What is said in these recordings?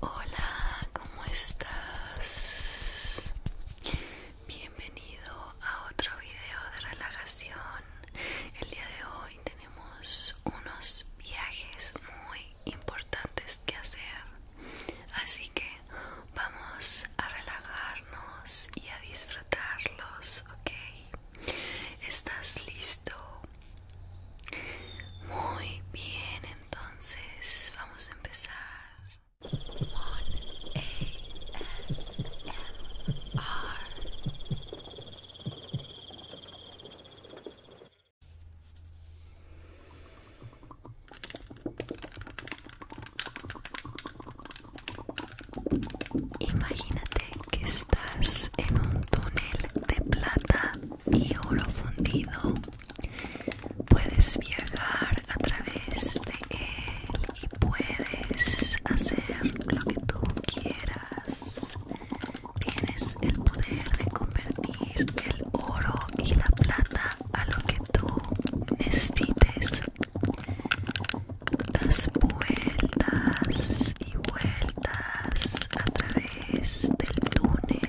Hola, ¿cómo estás? Bienvenido a otro video de relajación. El día de hoy tenemos unos viajes muy importantes que hacer. Así que vamos a relajarnos y a disfrutarlos, ¿ok? ¿Estás listo muy bien, entonces vamos a empezar. Imagínate que estás en un túnel de plata y oro fundido Puedes viajar a través de él y puedes hacer lo que tú quieras. Tienes el poder de convertir el oro y la plata a lo que tú necesites. Das vueltas y vueltas a través del túnel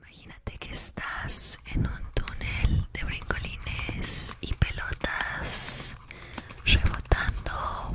Imagínate que estás en un túnel de brincolines y pelotas rebotando.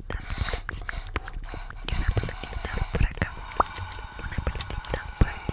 y una pelotita por acá una pelotita por aquí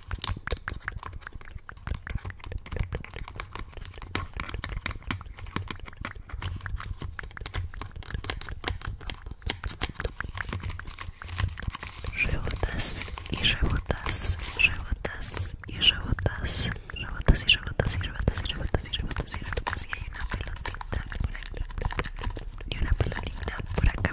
Rebotas y rebotas, rebotas y rebotas, rebotas y rebotas y y y hay una pelotita por una pelotita por acá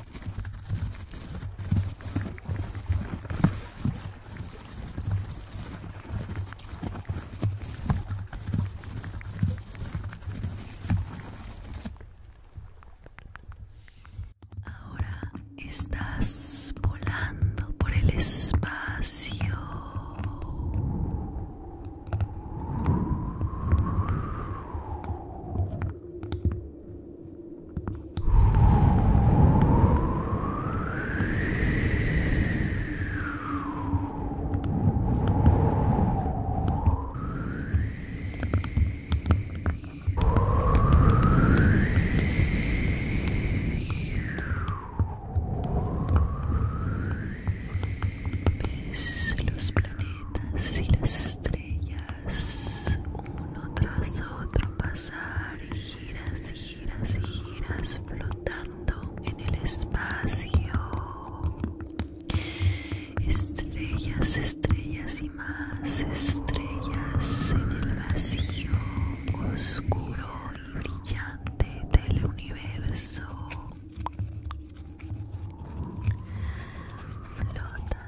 Ahora estás volando por el espacio. Ves los planetas y las estrellas estrellas uno tras otro pasar y giras y giras y giras flotando en el espacio estrellas estrellas y más estrellas en el vacío oscuro y brillante del universo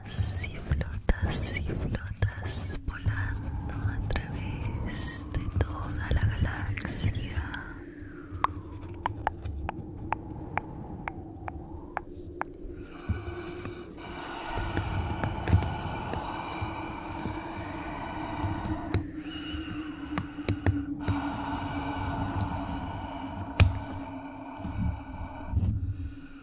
si flotas y flotas volando a través de toda la galaxia.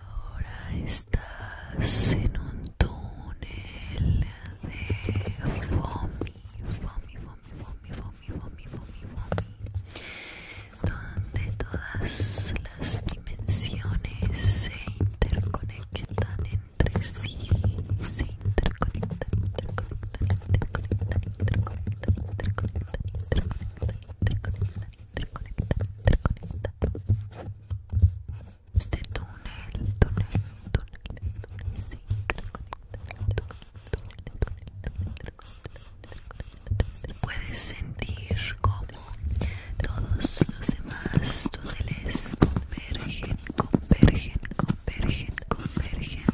Ahora estás en un túnel de foamy, foamy, foamy, foamy, foamy, foamy, foamy, foamy, donde todas las dimensiones se interconectan entre sí, se interconectan, interconectan, este túnel, túnel, túnel, túnel, Puedes sentir como todos los demás túneles convergen, convergen, convergen, convergen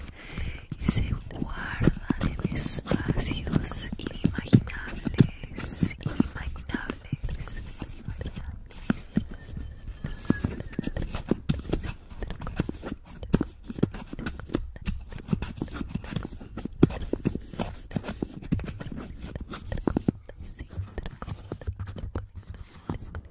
y se guardan en espacios inimaginables, inimaginables, inimaginables.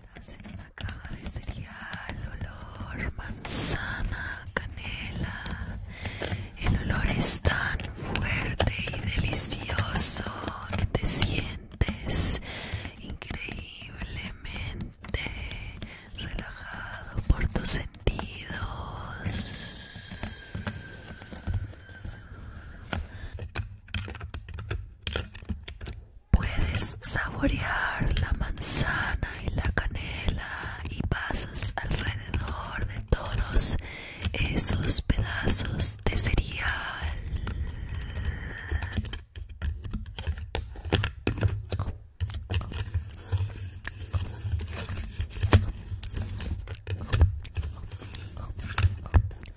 Estás en una caja de cereal, olor, manzana, canela. El olor es tan fuerte y delicioso que te sientes increíblemente relajado por tus sentidos. Puedes saborear la manzana y la canela y pasas alrededor de todos esos pedazos de cereal.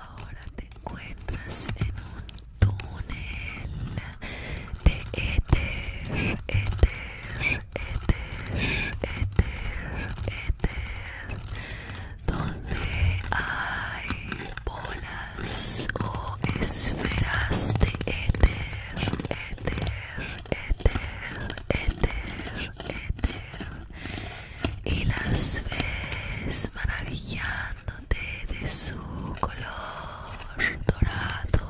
Ahora te encuentras en un túnel de éter, éter, éter, donde hay bolas o esferas de éter, éter, éter, éter, éter, y las ves maravillándote de su color dorado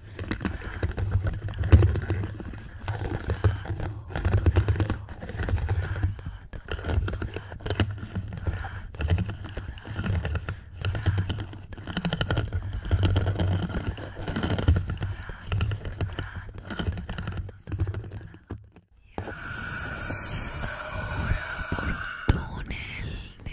Yes, ahora por túnel de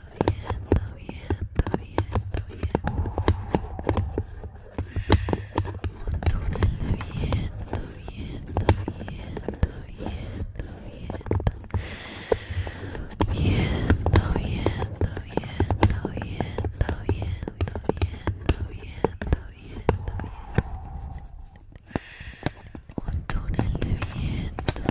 viento bien, Un túnel de viento, viento, viento, viento, viento. Viento, viento, viento, viento, viento, viento, viento, viento, viento. Un túnel de viento,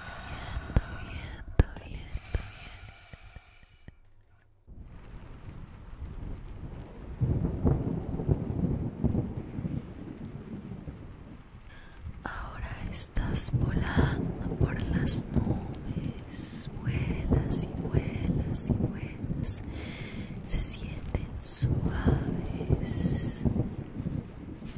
Ahora estás volando por las nubes, vuelas y vuelas y vuelas, se sienten suaves,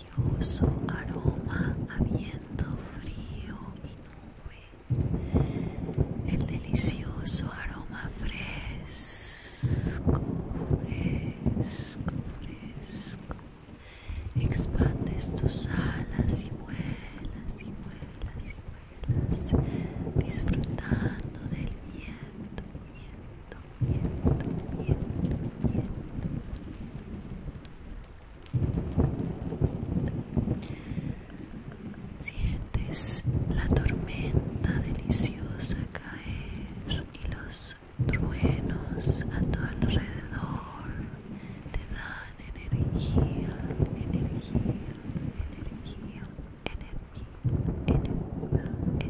delicioso aroma a viento frío y nube, el delicioso aroma fresco, fresco, fresco. Expandes tus alas y vuelas y vuelas y vuelas, disfrutando del viento, viento, viento, viento, viento. Sientes la tormenta deliciosa caer y los truenos a tu alrededor te dan energía, energía, energía, energía, energía, energía.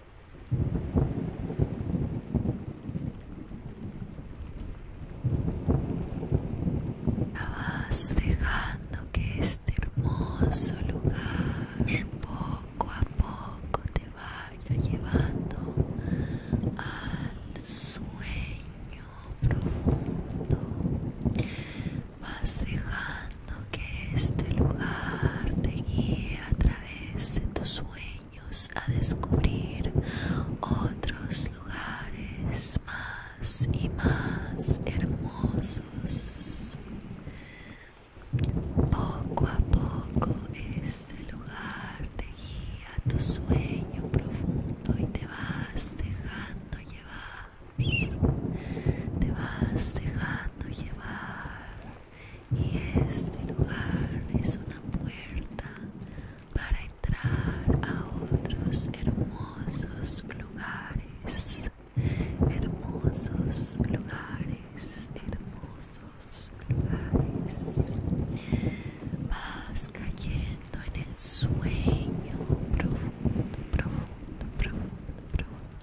vas dejando que este hermoso lugar poco a poco te vaya llevando al sueño profundo. Vas dejando que este lugar te guía a través de tus sueños a descubrir otros lugares más y más hermosos. Poco a poco este lugar te guía a tu sueño profundo y te vas dejando llevar. Te vas dejando llevar y este lugar es una puerta para entrar a otros hermosos lugares, hermosos lugares, hermosos lugares. Vas cayendo en el sueño profundo, profundo, profundo, profundo.